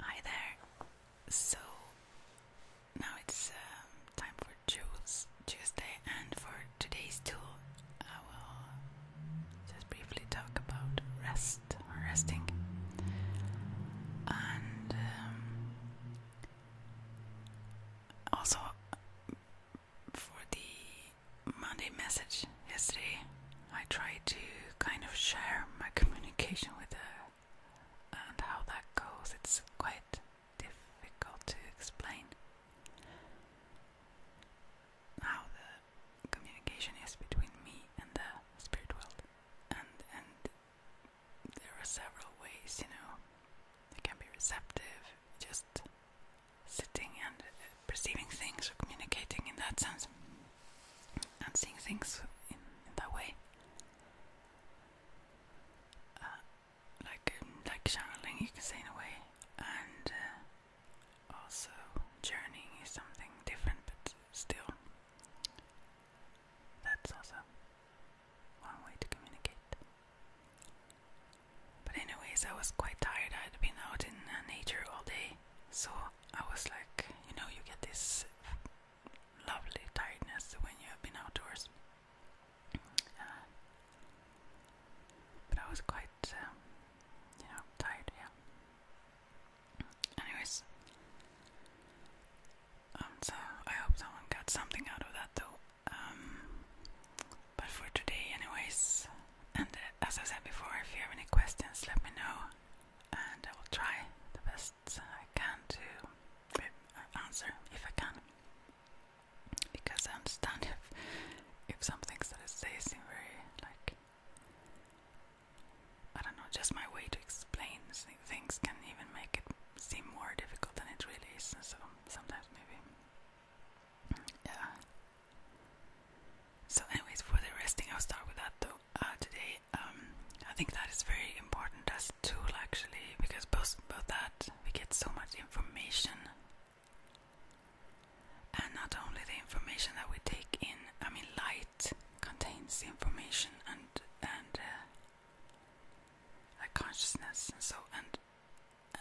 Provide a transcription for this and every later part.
Hi there. So now it's um, time for Jules Tuesday, and for today's tool, I will just briefly talk about rest resting. And um, also for the Monday message yesterday, I try to kind of share my communication with her, and how that goes, it's quite difficult to explain how the communication is between me and the spirit world, and and there are several ways, you know, it can be receptive, just sitting and perceiving things or communicating in that sense and seeing things in, that way. Uh, like um, like channeling, you can say in a way, and uh, also journeying is something different, but still, that's also one way to communicate. But anyways, I was quite tired. I'd been out in uh, nature all day, so I was like, you know, you get this lovely tiredness when you have been outdoors. but I was quite, um, you know, tired, yeah. Anyways, um, so I hope someone got something out of that though. Um, but for today, anyways, and uh, as I said before, if you have any questions, let me know and I will try the best I can to answer if I can. Because I understand if if some things that I say seem very like I don't know, just my way to explain things can even make it seem more difficult than it really is. So sometimes maybe, yeah. So, anyways, for the resting, I'll start with that though. Uh, today um, I think that is very important as a tool actually, because both about that we get so much information, and not only the information that we take in. I mean, light contains the information and and uh, consciousness, and so and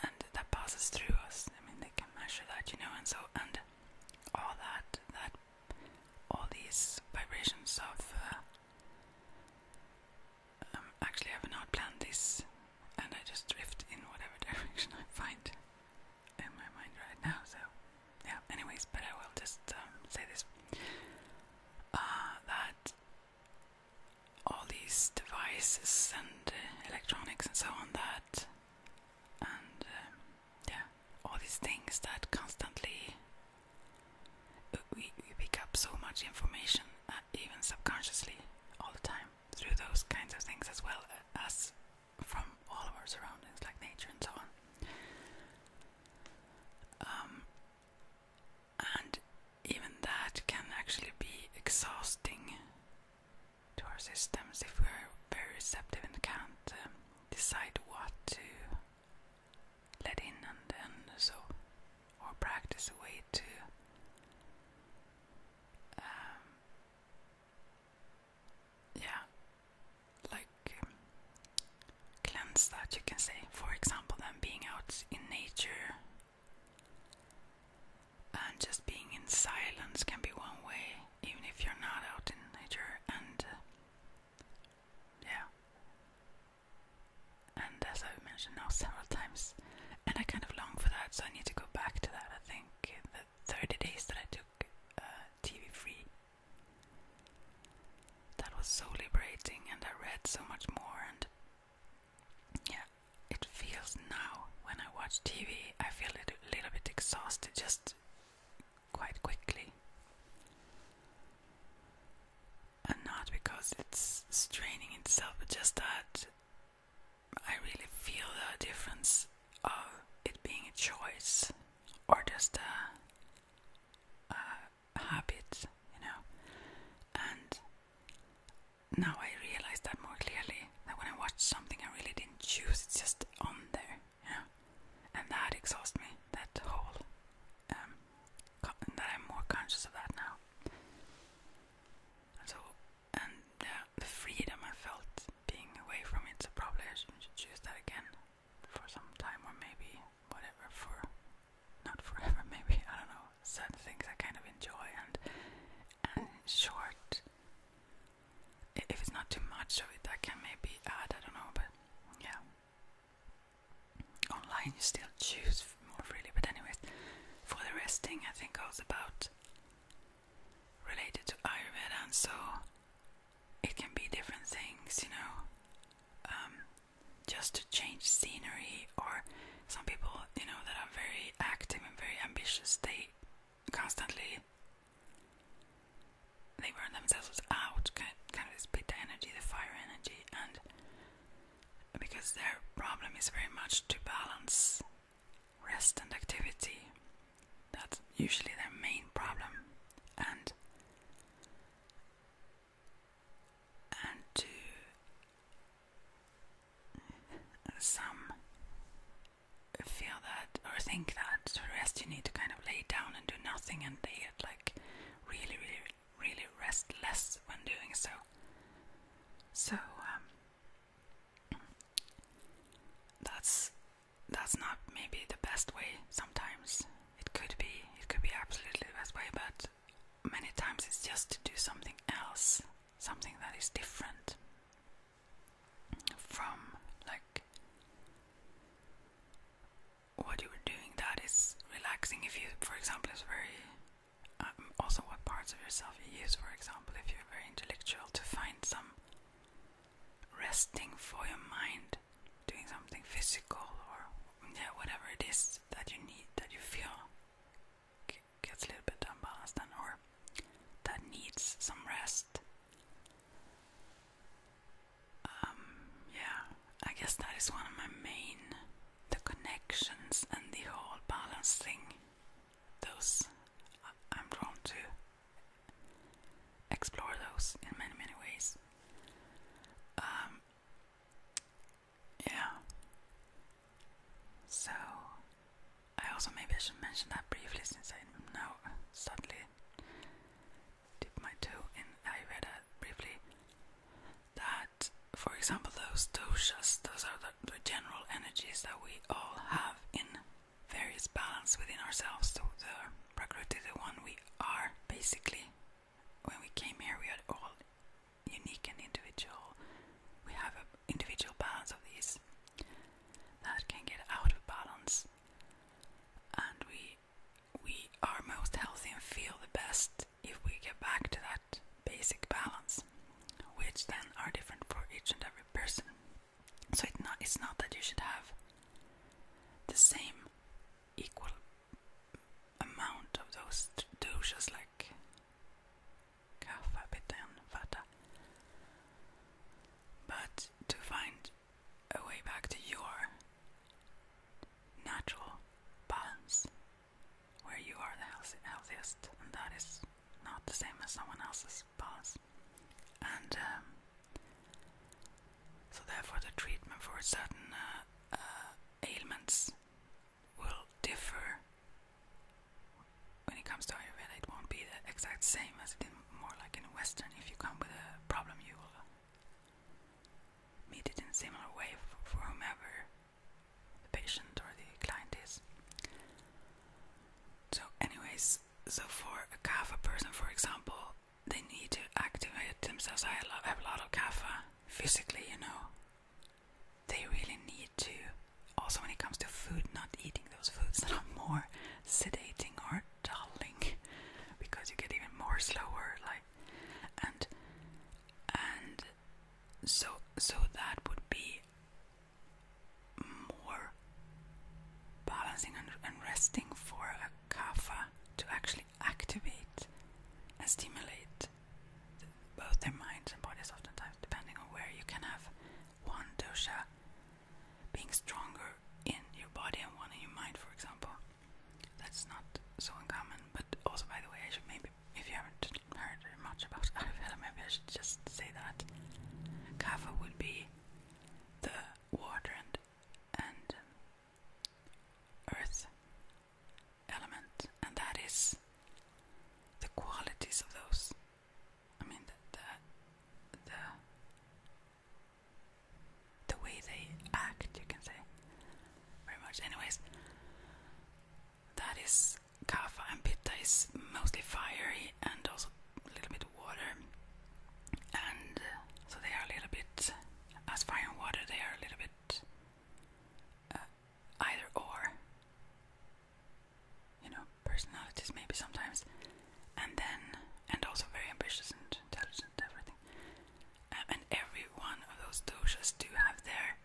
and that passes through us. I mean, they can measure that, you know, and so and all that that all these vibrations of. Uh, um, actually, I've not planned this, and I just drift in whatever direction I find in my mind right now. So, yeah. Anyways, but I will just um, say this: uh, that all these devices and uh, electronics and so on that and um, yeah, all these things that constantly uh, we, we pick up so much information, uh, even subconsciously, all the time through those kinds of things as well uh, as from all of our surroundings, like nature and so on. Um, and even that can actually be exhausting to our systems if we're very receptive and can't um, decide what to let in and then so or practice a way to um, yeah like um, cleanse that you can say for example then being out in nature and just being in silence can be one way even if you're not out in nature and uh, yeah. And as I've mentioned now several times, and I kind of long for that, so I need to go back to that. I think the 30 days that I took uh, TV free, that was so liberating, and I read so much more. And yeah, it feels now when I watch TV, I feel a little bit exhausted just quite quickly. And not because it's straining itself, but just that I really feel the difference of it being a choice or just a, habit, you know. And now I realize that more clearly that when I watch something I really didn't choose, it's just on there yeah, and that exhausts me. That whole um, that I'm more conscious of that now. so, and uh, the freedom I felt being away from it. So probably I should choose that again for some time, or maybe whatever for not forever. Maybe I don't know. Certain things I kind of enjoy and and short if it's not too much of it, I can maybe add. I don't know, but yeah. Online, you still choose more freely. But anyways, for the resting, I think goes about related to Ayurveda, and so it can be different things, you know. Um, just to change scenery, or some people, you know, that are very active and very ambitious, they constantly they burn themselves out, kind of this pitta energy, the fire energy, and because their problem is very much to balance rest and activity. That's usually their main problem, and and to some feel that or think that. To rest, you need to kind of lay down and do nothing, and be like really, really, really restless when doing so. So um, that's that's not maybe the best way. Sometimes it could be, it could be absolutely the best way, but many times it's just to do something else, something that is different from like what you were doing that is relaxing if you for example is very um, also what parts of yourself you use for example if you're very intellectual to find some resting for your mind doing something physical or yeah whatever it is that you need that you feel gets a little bit unbalanced and or that needs some rest um, yeah, I guess that is one of my main the connections and the whole balancing. Those uh, I'm drawn to explore those in many many ways. Um, yeah. So I also maybe I should mention that briefly since I now suddenly dip my toe in. I read it briefly that, for example, those doshas, those are the, general energies that we all have in various balance within ourselves. So the prakriti, the one we are, basically, when we came here, we are all unique and individual. We have an individual balance of these that can get out of balance and we we are most healthy and feel the best if we get back to that basic balance, which then are different for each and every person. So it not, it's not that you should have the same equal amount of those doshas like kaffa, pitta and vata. But to find a way back to your natural balance where you are the healthiest, and that is not the same as someone else's balance. And um, so, therefore, the treatment for certain uh, uh, ailments will differ when it comes to Ayurveda. It won't be the exact same as it more like in Western, if you come with a problem, you will meet it in similar way for whomever the patient or the client is. So, anyways, so for a kapha person, for example, they need to activate themselves. I have a lot of kapha physically, you know. They really need to, also when it comes to food, not eating those foods that are more sedating or darling because you get even more slower like and and so so that would be more balancing and, and resting for a kapha to actually activate and stimulate both their minds and bodies oftentimes depending on where you can have one dosha being stronger in your body and one in your mind, for example. That's not so uncommon. But also, by the way, I should maybe, if you haven't heard much about Ayurveda, maybe I should just say that kapha would be the water and earth element, and that is the qualities of those. I mean, the, the the way they act, you can say. Very much. Anyways, that is kapha and pitta is mostly fiery and also a little bit water. And uh, so they are a little bit, as fire and water, they are a little bit uh, either or. You know, personalities maybe sometimes and then and also very ambitious and intelligent and everything. Uh, and every one of those doshas do have their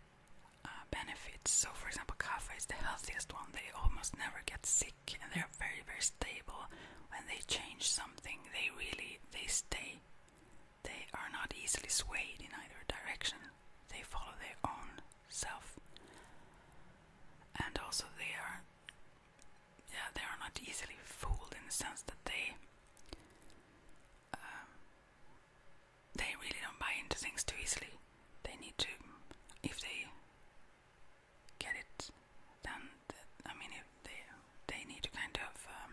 uh, benefits. So, for example, kapha is the healthiest one. They almost never get sick, and they're very, very stable. When they change something, they really they stay. They are not easily swayed in either direction. They follow their own self, and also they are yeah, they are not easily fooled in the sense that they um, they really don't buy into things too easily. They need to, if they get it, then I mean, if they they need to kind of. Um,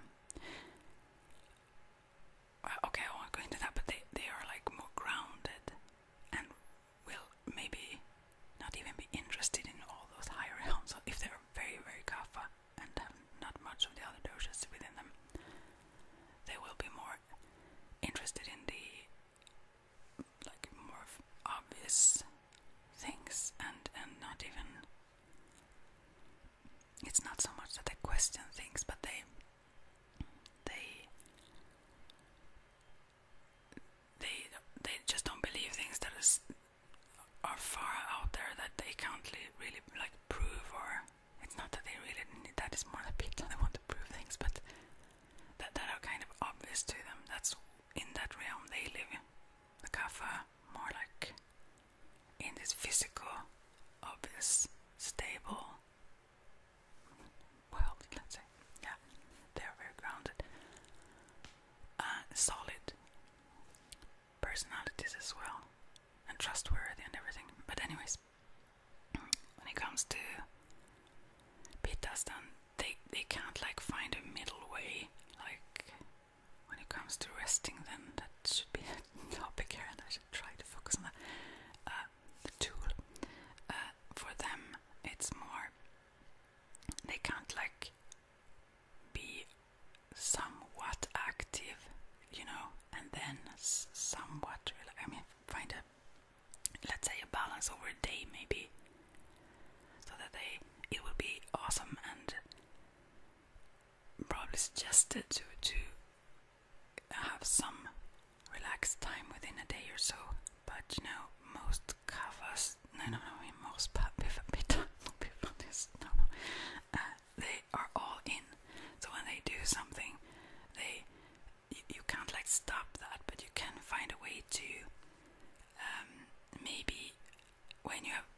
well, okay, I won't go into that, but they, they are like more grounded and will maybe not even be interested in all those higher realms So if they're very, very kapha and have not much of the other doshas within them. They will be more interested in the like more obvious things and and not even it's not so much that they question things but they they they they just don't believe things that are far out there that they can't really like prove or it's not that they really need that is more the people they want to prove things but that that are kind of obvious to them that's in that realm they live in the kapha more like in this physical obvious stable well let's say yeah they're very grounded uh, solid personalities as well, and trustworthy and everything. But anyways, when it comes to Pitastan, they they can't like find a middle way. Like when it comes to resting, then that should be a topic here, and I should try to focus on that. Uh, the tool uh, for them, it's more they can't like be somewhat active, you know, and then somewhat. I mean, find a let's say a balance over a day, maybe, so that they it will be awesome and probably suggested to to have some relaxed time within a day or so. But you know, most most covers. No, no, no. In most but before, before this, uh, they are all in. So when they do something, they you, can't like stop that, but you can find a way to um, maybe when you have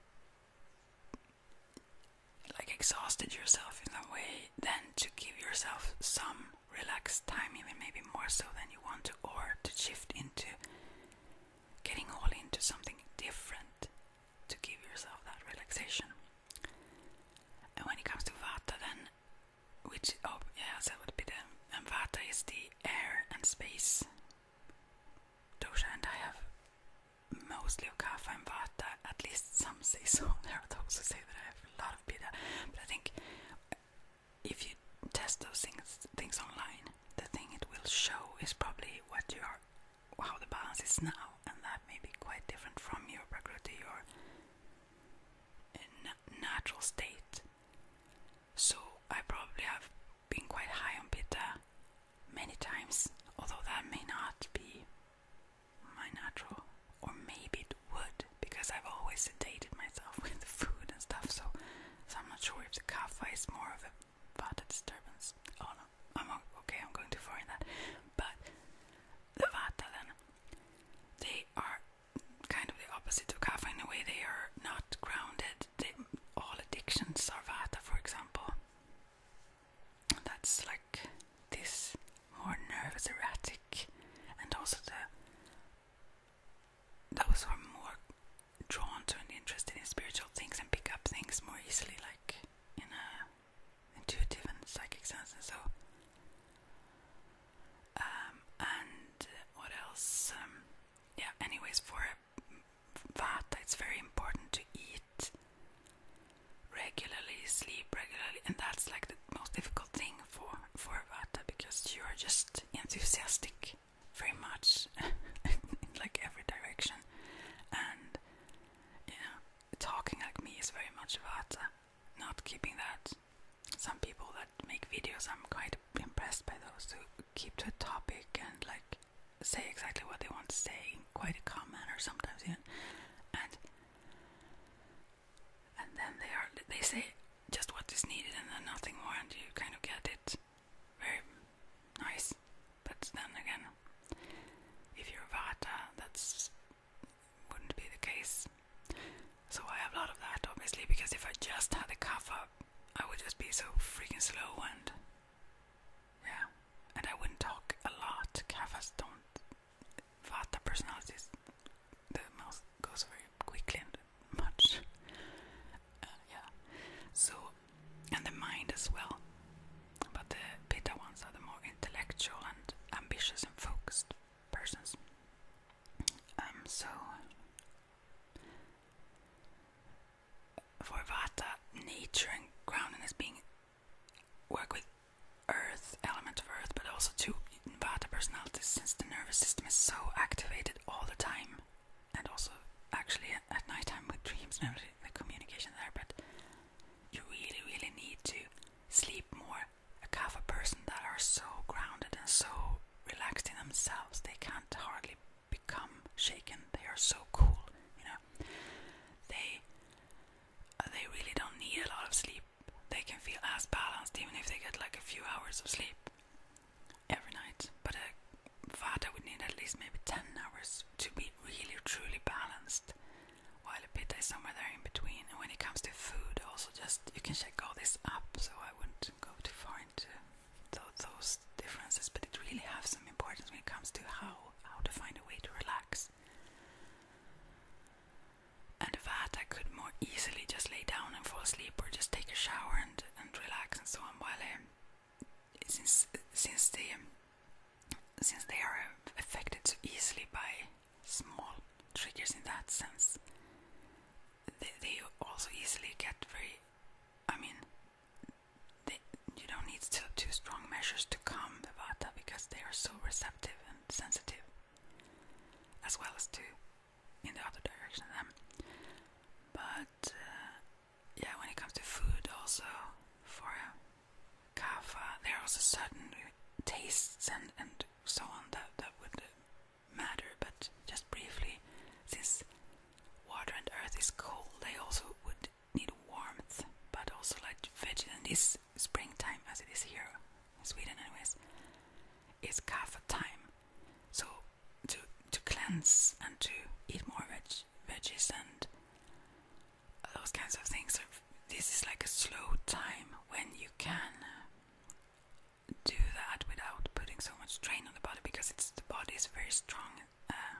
like exhausted yourself in some way, then to give yourself some relaxed time, even maybe more so than you want to, or to shift into getting all into something different to give yourself that relaxation. And when it comes to Vata, then, which, oh, yeah, that would be the, and Vata is the air and space dosha, and I have mostly of Kapha and Vata, at least some say so. There are those say that I have a lot of Pitta, but I think if you test those things things online, the thing it will show is probably what you are, how the balance is now, and that may be quite different from your prakriti, your eh, natural state. So I probably have been quite high on beta many times, although that may not be my natural, or maybe it would, because I've always sedated myself with food and stuff. So so I'm not sure if the cafe is more of a vata disturbance. Oh no, I'm okay. I'm going to find that. But the vata then, they are kind of the opposite of kapha in a way. They are not grounded. all addictions are vata, for example. That's like this more nervous, erratic, and also the that was sort more drawn to and interested in spiritual things and pick up things more easily, like in a intuitive and psychic sense, and so. Um, and what else? Um, yeah. Anyways, for a vata, it's very important to eat regularly, sleep regularly, and that's like the most difficult thing for for a vata because you are just enthusiastic very much in like every direction, and you know, talking like me is very much about uh, not keeping that. Some people that make videos, I'm quite impressed by those who keep to a topic and like say exactly what they want to say quite a calm manner, sometimes even, and and then they are they say just what is needed and then nothing more, and you kind of get it very nice, but then again, if you're Vata, that's wouldn't be the case. So I have a lot of that, obviously, because if I just had a cough I would just be so freaking slow and yeah, and I wouldn't talk a lot. Kafas don't. Vata personalities, the mouth goes very quickly much. Uh, yeah. So, and the mind as well. But the Pitta ones are the more intellectual and ambitious and focused persons. Um, so, for Vata, nature and grounding is being work with earth, element of earth, but also to Vata personalities since the nervous system is so activated all the time and also actually at, at night time with dreams and the communication there, but you really, really need to sleep more. A half a person that are so grounded and so relaxed in themselves, they can't hardly become shaken. They are so cool, you know. They uh, they really don't need a lot of sleep. They can feel as balanced even if they get like a few hours of sleep every night. But a uh, vata would need at least maybe 10 hours to be really truly balanced, while a pitta is somewhere there in between. when it comes to food, also just you can check all this up, so I wouldn't go too far into those differences. But it really has some importance when it comes to how how to find a way to relax. And a vata could more easily just lay down and fall asleep, or just take a shower and and relax and so on. While um, since since they since they are affected so easily by small triggers in that sense, they, they also easily get very. I mean, you don't need to too strong measures to calm the vata because they are so receptive and sensitive, as well as to in the other direction of them, But uh, yeah, when it comes to food, also for kava, there are also certain tastes and and so on that that would matter. But just briefly, since water and earth is cold, they also would need warmth, but also like veg. And this springtime, as it is here in Sweden, anyways, is kava time. So to to cleanse and to eat more veg veggies and those kinds of things. this is like a slow time when you can do that without putting so much strain on the body because the body is very strong. Uh,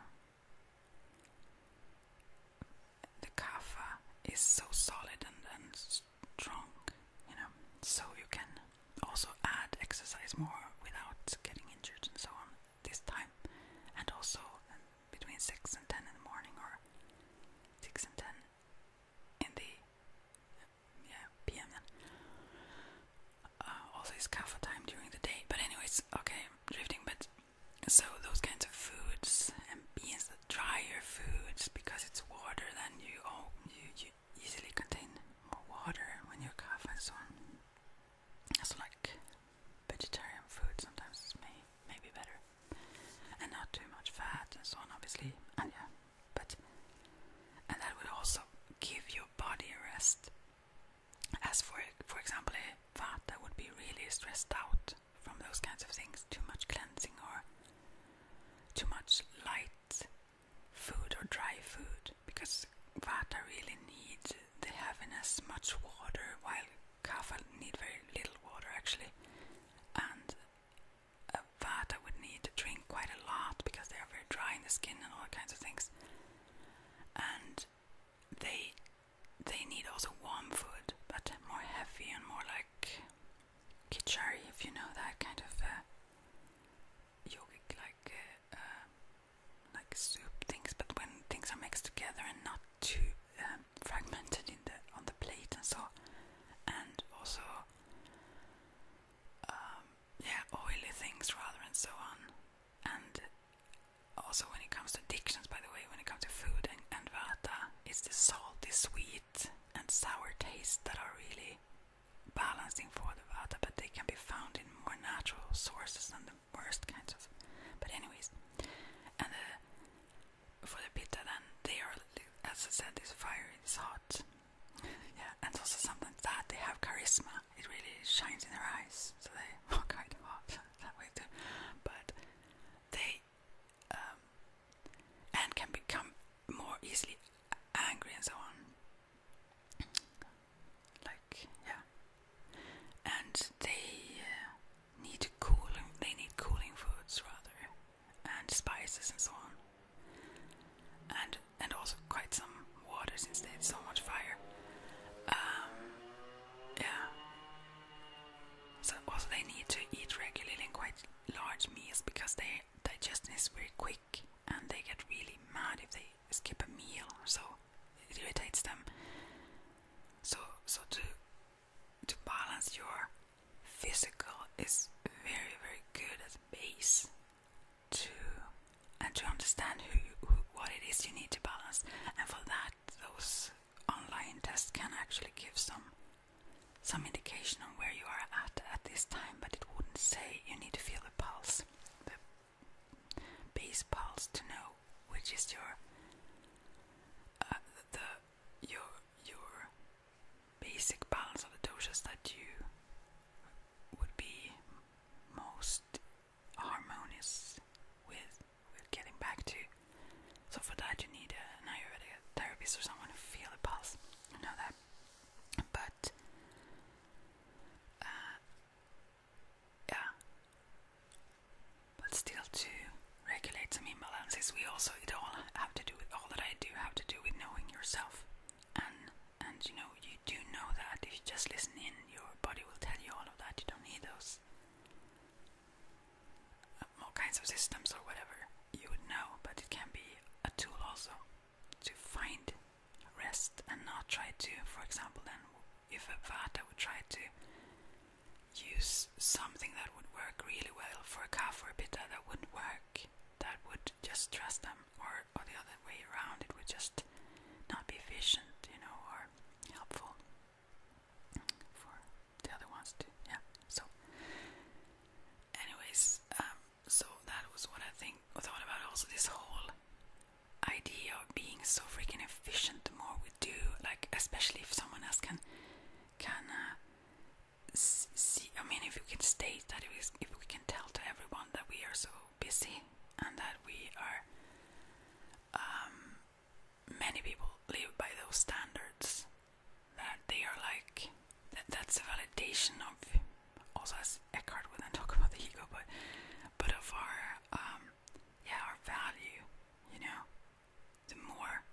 the kapha is so solid and, and strong you know, so you can also add exercise more without getting injured and so on this time, and also um, between 6 and 10 in the morning or 6 and 10 in the um, yeah, PM then. Uh, also, it's kaffa time during the day, but, anyways, okay, drifting, but so those kinds of foods and beans, drier foods because it's water, then you, oh, you, you easily contain more water when you cough and so on. So like vegetarian food sometimes may may be better. And not too much fat and so on obviously. And yeah. But and that will also give your body a rest. As for for example a vata would be really stressed out from those kinds of things, too much cleansing or too much light food or dry food because Vata really need they have the as much water, while Kapha need very little water actually, and uh, Vata would need to drink quite a lot because they are very dry in the skin and all kinds of things, and they they need also warm food, but more heavy and more like kichari, if you know that kind of uh, yogic like uh, um, like soup things, but when things are mixed together and not too um, fragmented in the on the plate and so, and also um, yeah, oily things rather and so on, and also when it comes to addictions, by the way, when it comes to food and, and vata, it's the salty, sweet and sour taste that are really balancing for the water, but they can be found in more natural sources than the worst kinds of. But anyways, and uh, for the pitta, then they are, as I said, this fire is hot. yeah, and also something that they have charisma. It really shines in their eyes, so they are kind of hot that way too. But they um, and can become more easily angry and so on like yeah, and they uh, need cooling. They need cooling foods rather, and spices and so on, and and also quite some water since they had so much fire. Um, yeah. So also they need to eat regularly and quite large meals because their digestion is very quick and they get really mad if they skip a meal, so it irritates them. So, so to to balance your physical is very, very good at a base to and to understand who, who what it is you need to balance, and for that, those online tests can actually give some some indication on where you are at at this time, but it wouldn't say you need to feel pulse, the base pulse, to know which is your uh, the your your basic balance of the doshas that you would be most harmonious with. With getting back to, so for that you need a Ayurvedic therapist or someone to feel the pulse. You know that, but uh, yeah. But still, to regulate some imbalances, we also it all have to do with all that I do have to do with knowing yourself, and and you know you do know that if you just listen in, your body will tell you all of that. You don't need those uh, all kinds of systems or whatever. You would know, but it can be a tool also to find rest and not try to, for example, then if a vata would try to use something that would work really well for a calf or a pitta that wouldn't work, that would just stress them, or, or the other way around, it would just not be efficient, you know, or helpful for the other ones too. Yeah. So, anyways, um, so that was what I think I thought about also this whole idea of being so freaking efficient the more we do like especially if someone else can can uh, see I mean if you can state that if if we can tell to everyone that we are so busy and that we are um many people live by those standards that they are like that that's a validation of also as Eckhart will then talk about the ego, but but of our um yeah our value, you know, the more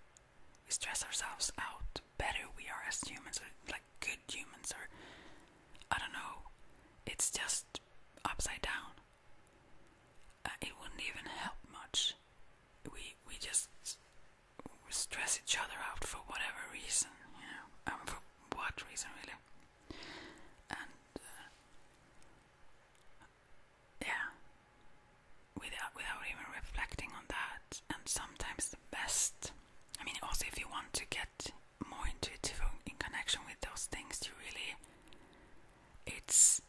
we stress ourselves out, the better we are as humans, or like good humans, or I don't know, it's just upside down. Uh, it wouldn't even help much. We we just stress each other out for whatever reason, you know, um, what reason really and uh, yeah without without even reflecting on that and sometimes the best i mean also if you want to get more intuitive in connection with those things you really it's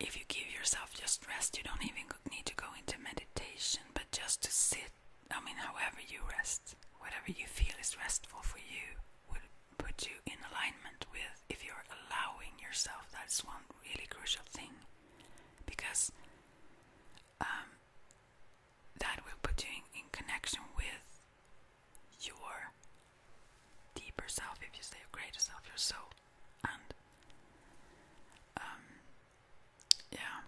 if you give yourself just rest you don't even need to go into meditation but just to sit I mean, however you rest, whatever you feel is restful for you, will put you in alignment with if you're allowing yourself. That's one really crucial thing because um, that will put you in, connection with your deeper self, if you say your greater self, your soul. And um, yeah,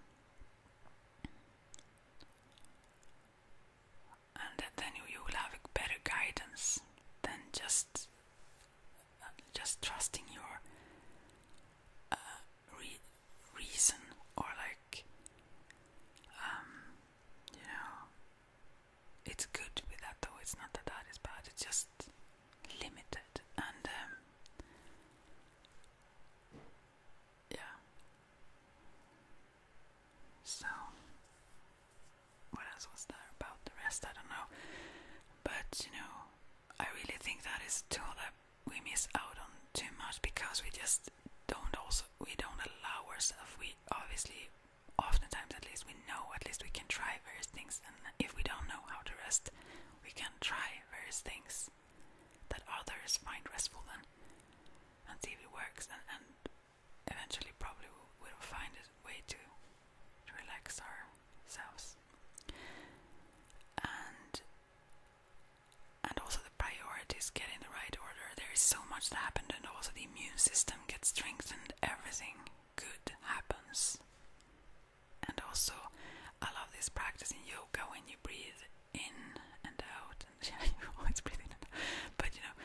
and then you, will have better guidance than just just trusting your uh, reason or like um, you know it's good with that though it's not that that is bad it's just limited and um, yeah. So, what else was there about the rest? I don't know. But, you know, I really think that is a tool that we miss out on too much because we just don't also, we don't allow ourselves, we obviously, oftentimes at least, we know at least we can try various things and if we don't know how to rest, we can try various things that others find restful and, and see if it works and, and eventually probably we'll find a way to, to relax ourselves. And and also the priorities get in the right order. There is so much that happened and also the immune system gets strengthened. Everything good happens. And also, I love this practice in yoga when you breathe in and out, and yeah, you always breathe in But you know,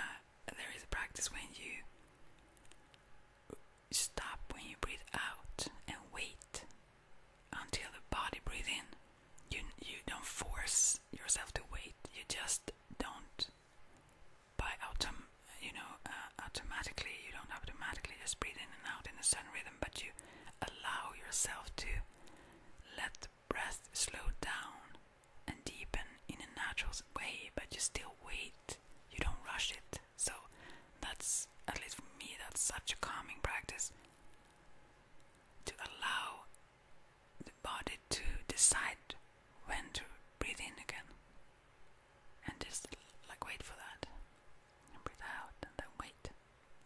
uh, there is a practice when you stop when you breathe out and wait until the body breathes in. You you don't force yourself to wait. You just don't by autom you know uh, automatically. You don't automatically just breathe in and out in the certain rhythm, but you allow yourself to let the breath slow down and deepen in a natural way, but you still wait, you don't rush it. So, that's at least for me, that's such a calming practice to allow the body to decide when to breathe in again and just like wait for that and breathe out and then wait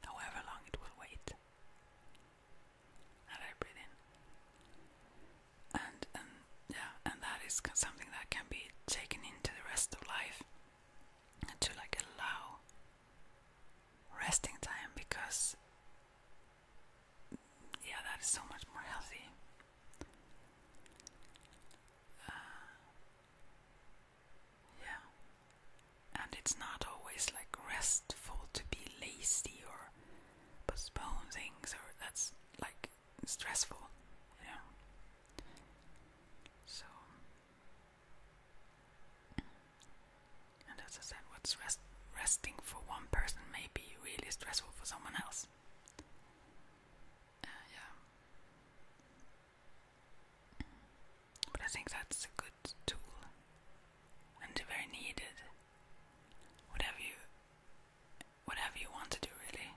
however long it will wait. And I breathe in. And and yeah, and that is something that can be taken into the rest of life to like allow resting time because yeah, that is so much more healthy. Uh, yeah. And it's not always like restful to be lazy or postpone things or that's like stressful, you So and as I said, what's resting for one person may be really stressful for someone else. Uh, yeah. But I think that's a good tool and very needed. Whatever you whatever you want to do really.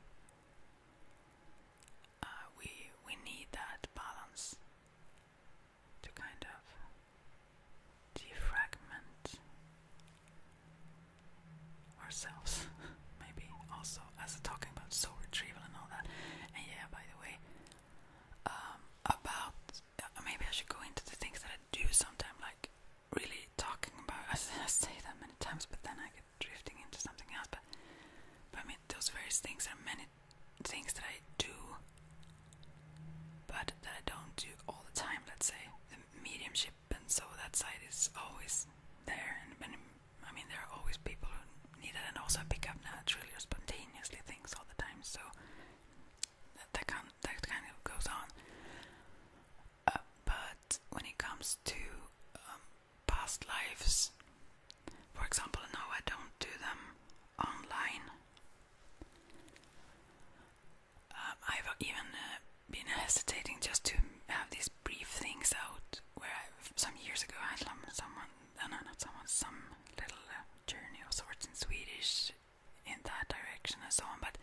Uh, we we need that balance to kind of defragment ourselves, maybe also as talking about soul retrieval and all that. And yeah, by the way, um, about uh, maybe I should go into the things that I do sometimes, like really talking about. I say that many times, but then I get drifting into something else. But, but I mean, those various things are many things that I do, but that I don't do all the time. Let's say the mediumship, and so that side is always there. And, and I mean, there are always people who needed, and also pick up naturally or spontaneously things all the time. So that that, that kind of goes on. Uh, but when it comes to um, past lives, for example, no, I don't do them online. Um, I've even uh, been hesitating just to have these brief things out. Where some years ago I had someone uh, no, not someone, some little journey of sorts in Swedish in that direction and so on. But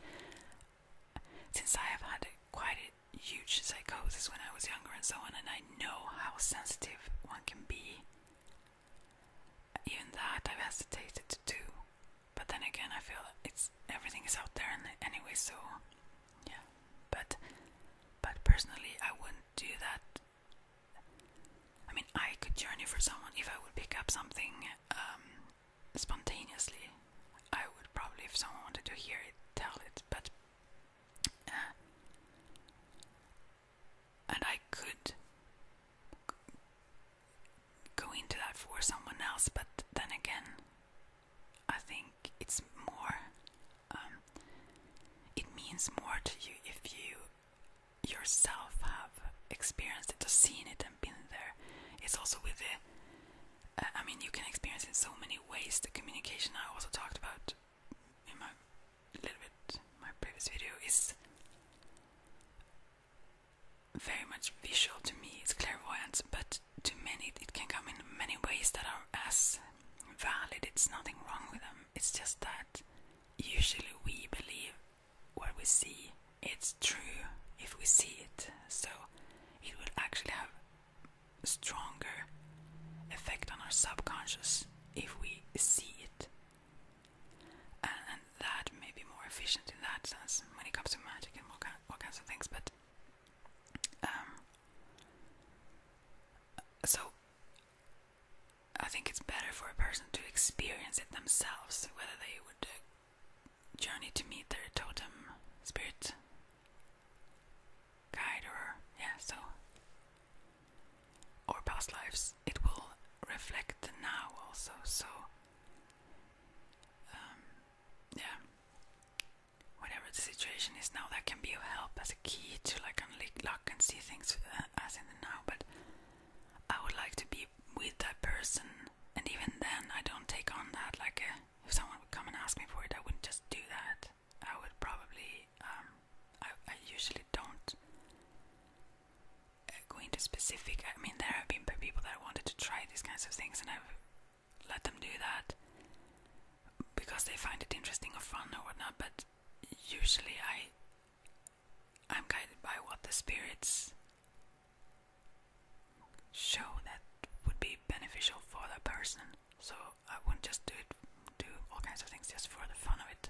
since I have had quite a huge psychosis when I was younger and so on, and I know how sensitive one can be, even that I've hesitated to do. But then again, I feel it's everything is out there and anyway, so yeah. But but personally, I wouldn't do that I mean, I could journey for someone if I would pick up something um, spontaneously. I would probably, if someone wanted to hear it, tell it, but. Uh, and I could go into that for someone else, but then again, I think it's more um, it means more to you if you yourself have experienced it or seen it and been there. It's also with it. Uh, I mean, you can experience in so many ways. The communication I also talked about in my little bit my previous video is very much visual to me. It's clairvoyant, but to many it can come in many ways that are as valid, it's nothing wrong with them. It's just that usually we believe what we see, it's true if we see it. So it will actually have a stronger effect on our subconscious if we see it. And, that may be more efficient in that sense when it comes to magic and all, kinds of things. But um, so I think it's better for a person to experience it themselves, whether they would uh, journey to meet their totem spirit guide or, yeah, so, or past lives. It will reflect the now also, so, um, yeah, whatever the situation is now, that can be of help key to like unlock and see things uh, as in the now, but I would like to be with that person, and even then, I don't take on that. Like, uh, if someone would come and ask me for it, I wouldn't just do that. I would probably, um, I, usually don't uh, go into specific. I mean, there have been people that I wanted to try these kinds of things, and I've let them do that because they find it interesting or fun or whatnot. But usually, I I'm guided by what the spirits show that would be beneficial for that person. So I wouldn't just do it, do all kinds of things just for the fun of it.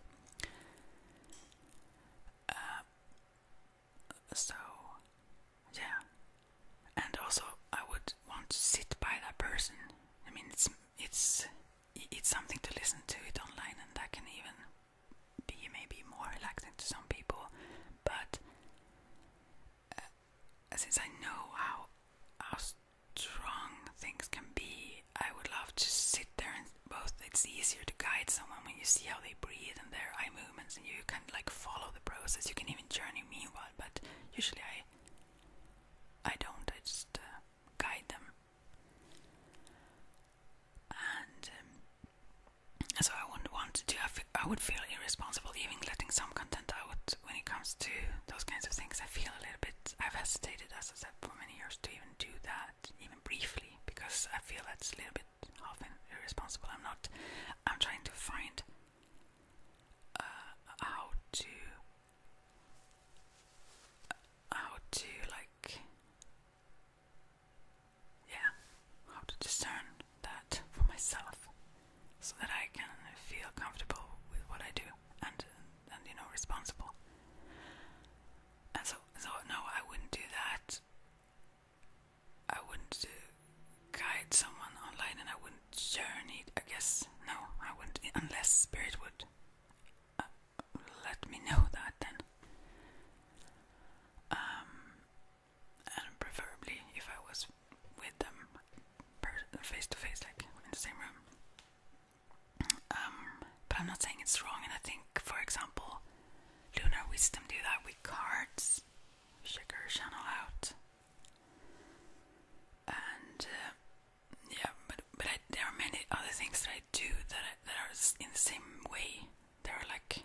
Uh, so yeah, and also I would want to sit by that person. I mean, it's it's it's something to listen to it online, and that can even be maybe more relaxing to some people. But uh, since I know how how strong things can be, I would love to sit there and both. It's easier to guide someone when you see how they breathe and their eye movements, and you can like follow the process. You can even journey meanwhile, but usually I I don't. I just uh, guide them. And um, so I wouldn't want to do. would feel irresponsible even letting some content out when it comes to those kinds of things. I feel a little bit. I've hesitated, as I said, for many years to even do that, even briefly, because I feel that's a little bit often irresponsible. I'm not. I'm trying to find uh, how to how to like yeah how to discern that for myself so that I can feel comfortable with what I do and and you know responsible and so so no I wouldn't do that I wouldn't do uh, guide someone online and I wouldn't journey I guess no I wouldn't unless spirit would let me know that then. Um, and preferably if I was with them face to face, like in the same room. Um, but I'm not saying it's wrong, and I think, for example, Lunar Wisdom do that with cards, check channel out, and uh, yeah, but but I, there are many other things that I do that I, that are in the same way. They are like,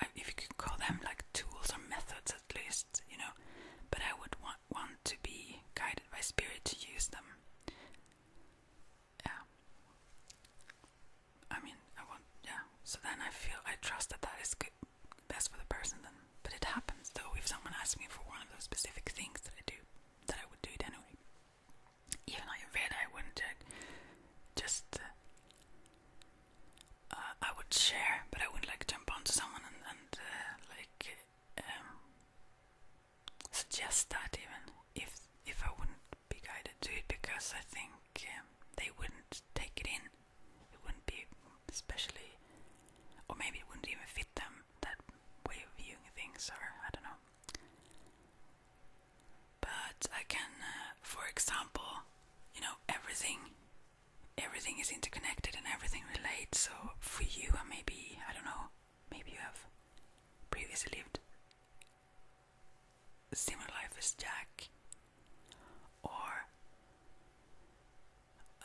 I, if you could call them like tools or methods, at least you know. But I would want want to be guided by spirit to use them. Yeah. I mean, I want yeah. So then I feel I trust that that is good, best for the person. Then, but it happens though if someone asks me for one of those specific things that I do that I would do it anyway. Even Ayurveda, I wouldn't check. Just uh, uh, I would share, but I would like jump onto someone and, uh, like um, suggest that even if if I wouldn't be guided to it because I think um, they wouldn't take it in. It wouldn't be especially, or maybe it wouldn't even fit them that way of viewing things, or I don't know. But I can, uh, for example, you know, everything, everything is interconnected and everything relates. So for you, and uh, maybe I don't know, maybe you have previously lived a similar life as Jack, or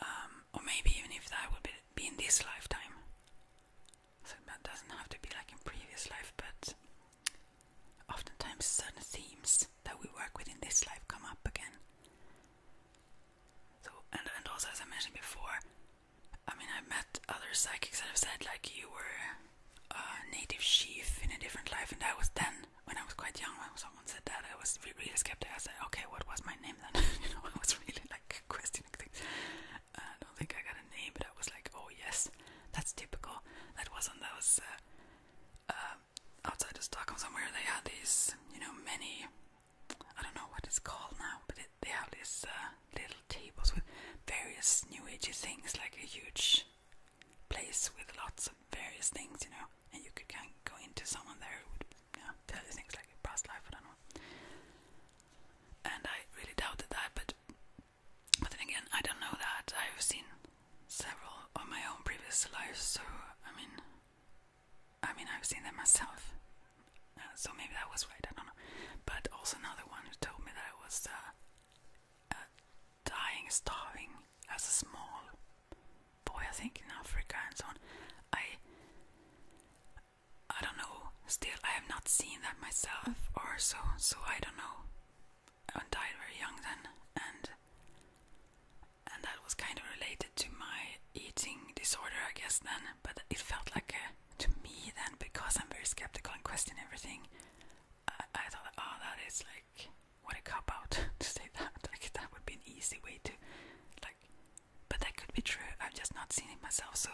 um, or maybe even if that would be, be in this lifetime, so that doesn't have to be like in previous life, but oftentimes certain themes that we work with in this life come up again. So and and also as I mentioned before, I mean i met other psychics that have said like you were a native chief in a different life, and I was then when I was quite young. When someone said that, I was really skeptical. I said, "Okay, what was my name then?" you know, I was really like like questioning things. Uh, I don't think I got a name, but I was like, oh yes, that's typical. That wasn't that was uh, uh, outside of Stockholm somewhere. They had these, you know, many. I don't know what it's called now, but it, they have these uh, little tables with various new agey things, like a huge place with lots of various things, you know. And you could kind of go into someone there who would yeah, things like past life, I don't know. And I really doubted that, but but then again, I don't know that. I've seen several of my own previous lives, so I mean, I mean, I've seen them myself. Uh, so maybe that was right. I don't know. But also another one who told me that I was uh, dying, starving as a small boy, I think, in Africa and so on. I I don't know. Still, I have not seen that myself, or so, so I don't know. I died very young then, and and that was kind of related to my eating disorder, I guess. Then, but it felt like a, uh, to me then because I'm very skeptical and question everything. I, I thought, oh, that is like what a cop out to say that. Like that would be an easy way to like but that could be true. I've just not seen it myself, so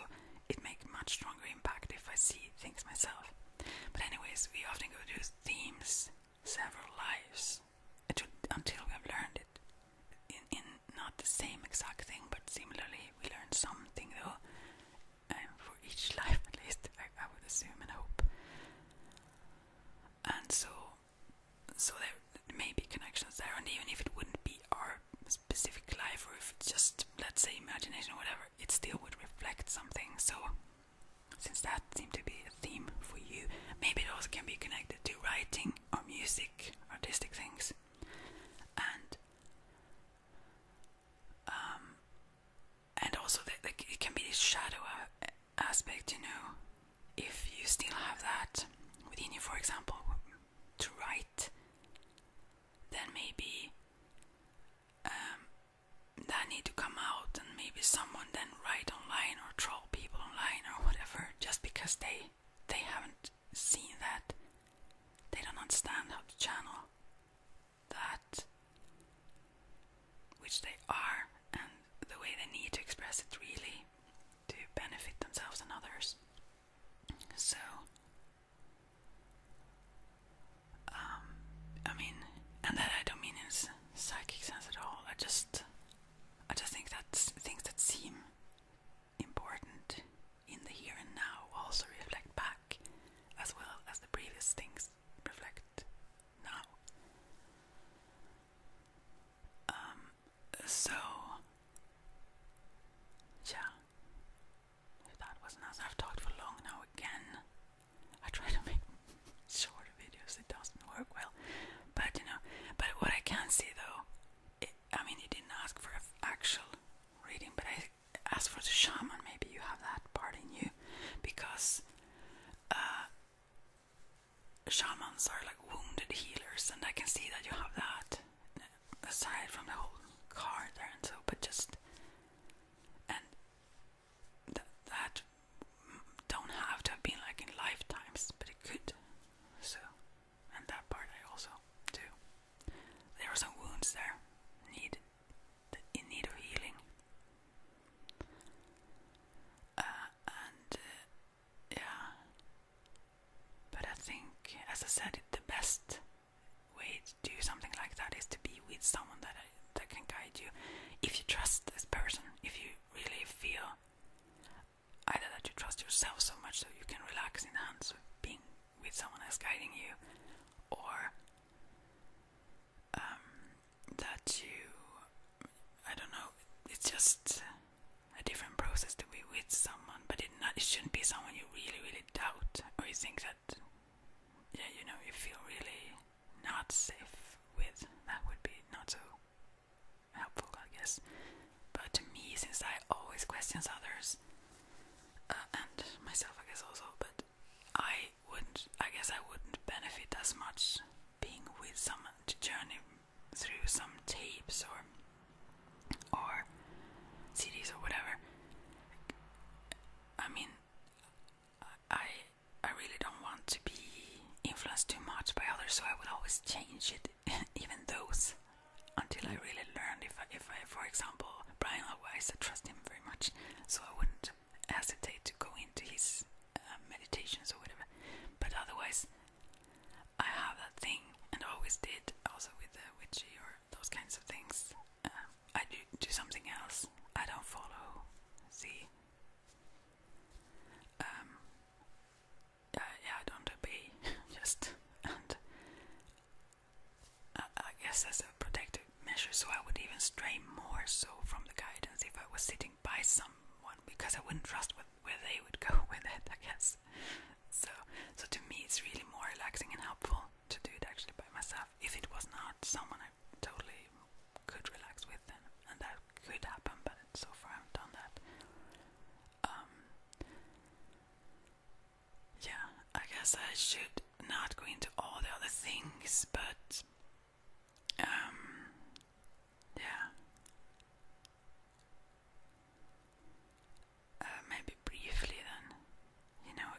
it makes much stronger impact if I see things myself. But anyways, we often go through themes, several lives, until we have learned it. In, in not the same exact thing, but similarly, we learn something though. And um, for each life, at least, I, I would assume and hope. And so, so there maybe connections there, and even if it wouldn't be our specific life, or if it's just let's say imagination or whatever, it still would reflect something. So, since that seemed to be a theme for you, maybe those can be connected to writing or music, artistic things, and um, and also the, the, it can be a shadow aspect, you know, if you still have that within you, for example to write, then maybe um, they need to come out, and maybe someone then write online or troll people online or whatever, just because they they haven't seen that, they don't understand how to channel that which they are and the way they need to express it really to benefit themselves and others. So, um, I mean, and that I don't mean in psychic sense at all. I just, I just think that things that seem important in the here and now also reflect back, as well as the previous things reflect now. Um, so, yeah. If that wasn't us, I've talked for long now again. I try to make short videos, it doesn't work well. But you know, but what I can see though, I mean, you didn't ask for an actual reading, but I asked for the shaman. Maybe you have that part in you because uh, shamans are like wounded healers, and I can see that you have that aside from the whole car there and so, but just and that don't have to have been like in lifetimes, but it could. So, and that part I also do. There are some wounds there, need in need of healing. Uh, and uh, yeah. But I think, as I said, the best way to do something like that is to be with someone that that can guide you. If you trust this person, if you really feel either that you trust yourself so much so you can relax in hands of being with someone else guiding you, or um, that you, I don't know, it's just a different process to be with someone, but it shouldn't be someone you really really doubt or you think that yeah you know you feel really not safe with. That would be not so helpful, I guess. But to me, since I always questions others uh, and myself, I guess also, but I wouldn't. I guess I wouldn't benefit as much being with someone to journey through some tapes or or CDs or whatever. I mean, I I really don't want to be influenced too much by others, so I will always change it, even those, until I really learned. If I, if I, for example, Brian Alvarez, I trust him very much, so I wouldn't hesitate to go into his uh, meditations or whatever. But otherwise, I have that thing, and always did, also with the witchy or those kinds of things. Um, I do do something else. I don't follow see. Um, uh, yeah, I don't obey, just and I, guess as a protective measure, so I would even stray more so from the guidance if I was sitting by someone because I wouldn't trust what where they would go with it, I guess. So, so to me, it's really more relaxing and helpful to do it actually by myself. If it was not someone I totally could relax with, and that could happen, but so far I haven't done that. Um, yeah, I guess I should not go into all the other things, but um, yeah. Uh, maybe briefly then. You know,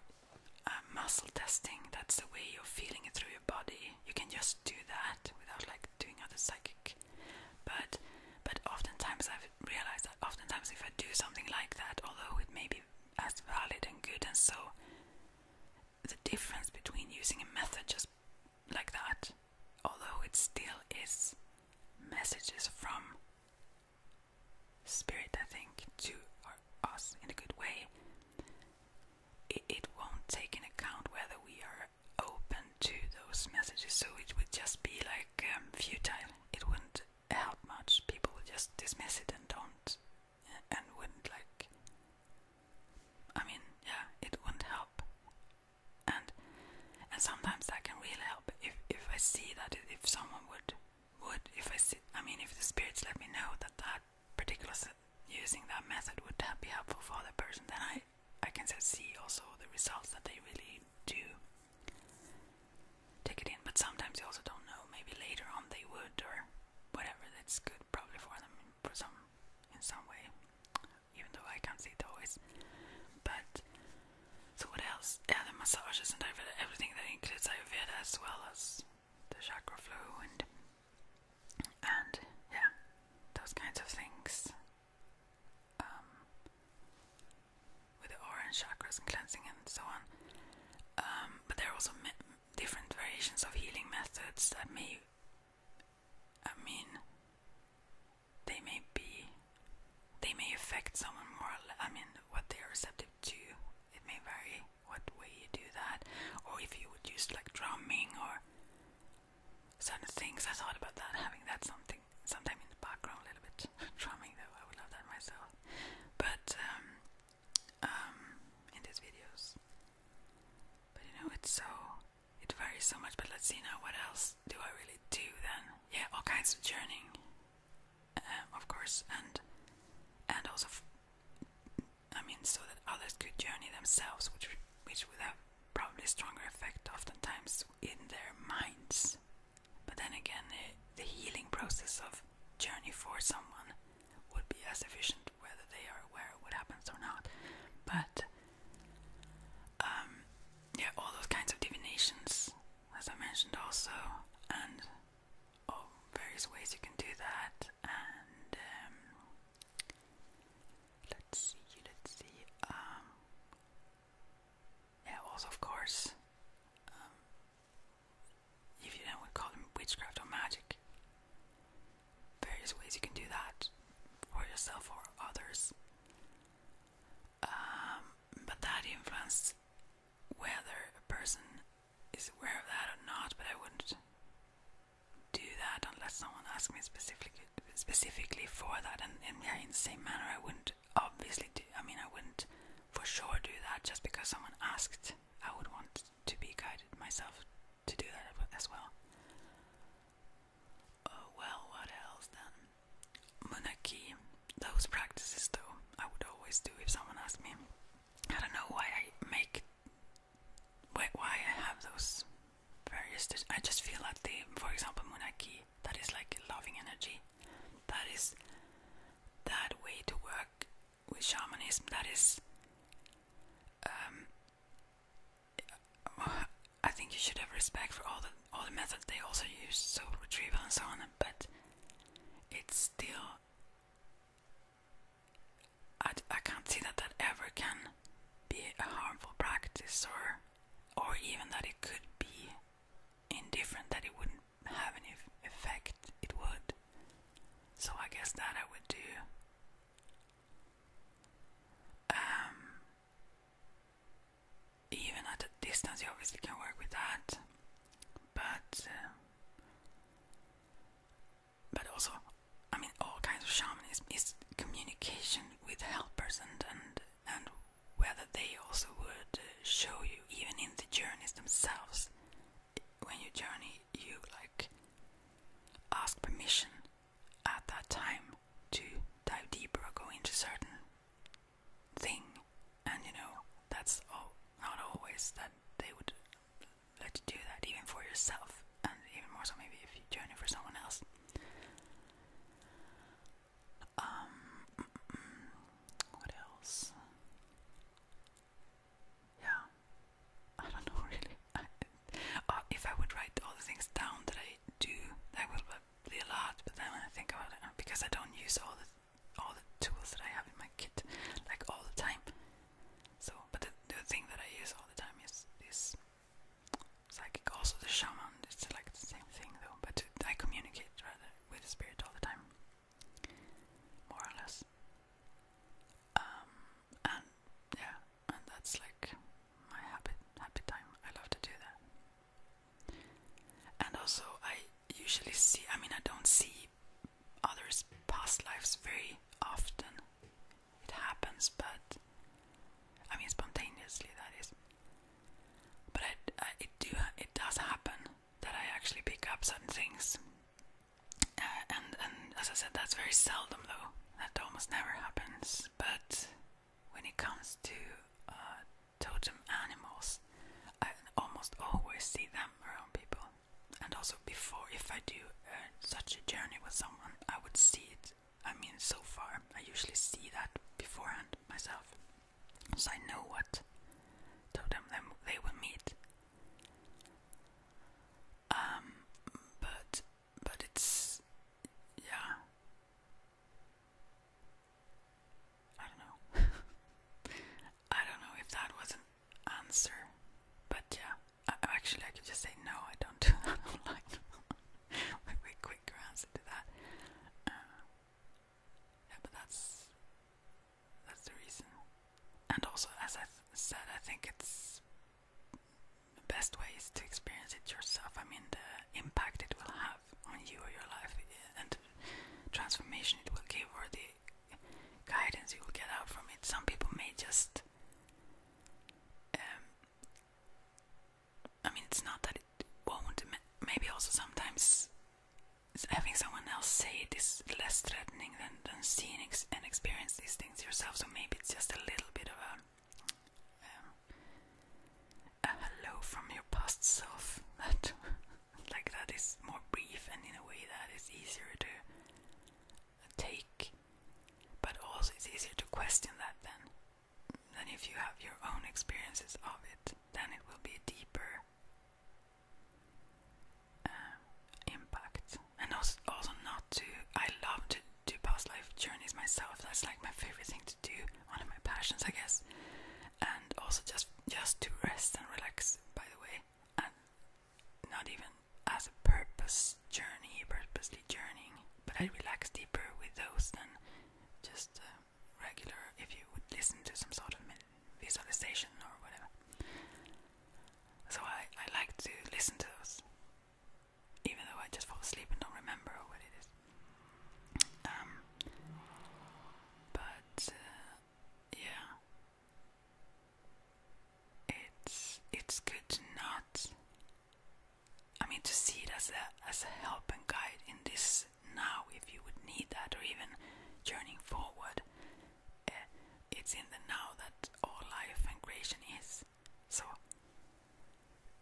uh, muscle testing, that's the way you're feeling it through your body. You can just do that without like doing other psychic. But but oftentimes I've realized that oftentimes if I do something like that, although it may be as valid and good and so the difference between using a method just like that, although it still is messages from Spirit, I think, to us in a good way, it, won't take in account whether we are open to those messages, so it would just be like um, futile. It wouldn't help much. People would just dismiss it and don't, and wouldn't like. I mean, yeah, it wouldn't help and and sometimes that can really help if if I see that if someone would would if I see I mean if the spirits let me know that that particular using that method would be helpful for other person then I I can see also the results that they really do take it in but sometimes you also don't know maybe later on they would or whatever that's good probably for them for some in some way even though I can't see the voice, But so what else? Yeah, the massages and Ayurveda, everything that includes Ayurveda as well as the chakra flow and and yeah, those kinds of things. Um, with the orange chakras and cleansing and so on. Um, but there are also different variations of healing methods that may. I mean, they may be they may affect someone more I mean what they are receptive to it may vary what way you do that or if you would use like drumming or certain things I thought about that having that something sometime in the background a little bit drumming though I would love that myself but um, um, in these videos but you know it's so it varies so much but let's see now what else do I really do then? Yeah, all kinds of journeying, um, of course, and and also, I mean, so that others could journey themselves, which which would have probably stronger effect, oftentimes in their minds. But then again, the, healing process of journey for someone would be as efficient whether they are aware of what happens or not. But um, yeah, all those kinds of divinations, as I mentioned also, and oh, various ways you can do that. And um, let's see, let's see. Um, yeah, also of course, if you then would call them witchcraft or magic, various ways you can do that for yourself or others. Um, but that influence, whether a person is aware of that or not, but I wouldn't do that unless someone asked me specifically specifically for that. And, and yeah, in the same manner, I wouldn't obviously do. I mean, I wouldn't for sure do that just because someone asked. I would want to be guided myself to do that as well. Oh well, what else then? Munaki. Those practices though, I would always do if someone asked me. I don't know why I make why why I have those various I just feel that they for example Munaki, that is like loving energy. That is that way to work with shamanism, that is um I think you should have respect for all the all the methods they also use, so retrieval and so on. But it's still, I, I can't see that that ever can be a harmful practice, or or even that it could be indifferent, that it wouldn't have any effect. It would. So I guess that I would do. Um, even at a distance, you obviously can work with that, but uh, but also, I mean, all kinds of shamanism is communication with helpers and and and whether they also would uh, show you even in the journeys themselves. When you journey, you like ask permission at that time to dive deeper or go into certain thing, and you know that's all, not always that they would let you do that, even for yourself, and even more so maybe if you journey for someone else. Um, what else? Yeah, I don't know really. I, uh, if I would write all the things down that I do, that would a lot, but then when I think about it, because I don't use all the all the tools that I have in my kit like all the time. So, but the, thing that I use all the time is this psychic. Also, the shaman. It's like the same thing though, but I communicate rather with the spirit all the time, more or less. Um, and yeah, and that's like my happy happy time. I love to do that. And also, I usually see, I mean, I don't see others' past lives very often. It happens, but I mean, spontaneously, that is. But I, it, do, it does happen that I actually pick up certain things. Uh, and, and as I said, that's very seldom though. That almost never happens. But when it comes to uh, totem animals, I almost always see them around people. And also, before, if I do uh, such a journey with someone, I would see it. I mean, so far, I usually see that beforehand myself. So I know what totem them they will meet. Um, but but it's yeah, I don't know. I don't know if that was an answer, but yeah. actually, I could just say no. I don't. do I do like. Maybe a answer to that. Uh, but that's that's the reason. And also, as I said, I think it's the best way is to experience it yourself. I mean, the impact it will have on you or your life and transformation it will give or the guidance you will get out from it. Some people may just. Um, I mean, it's not that it won't. Maybe also sometimes having someone else say it is less threatening than, than seeing it and experience these things yourself. So maybe it's just a little bit of a um, a hello from your past self. That like that is more brief and in a way that is easier to take, but also it's easier to question that then. Than if you have your own experiences of it, then it will be a deeper uh, impact. And also, also not to. I love to do past life journeys myself. That's like my favorite thing to do one of my passions, I guess, and also just just to rest and relax. By the way, and not even as a purpose journey, purposely journeying, but I relax deeper with those than just uh, regular. If you would listen to some sort of visualization or whatever, so I I like to listen to those even though I just fall asleep and don't remember what it is. Um, but uh, yeah, it's it's good not. I mean, to see it as a as a help and guide in this now, if you would need that, or even journeying forward. Uh, it's in the now that all life and creation is. So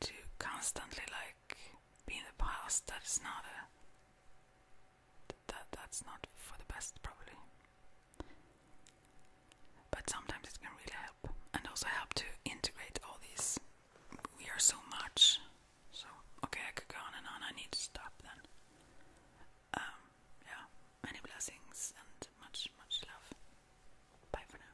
to constantly like be in the past. that is not a that that's not for the best probably. But sometimes it can really help, and also help to integrate all these. We are so much, so okay, I could go on and on. I need to stop then. Um, yeah, many blessings and much, much love. Bye for now.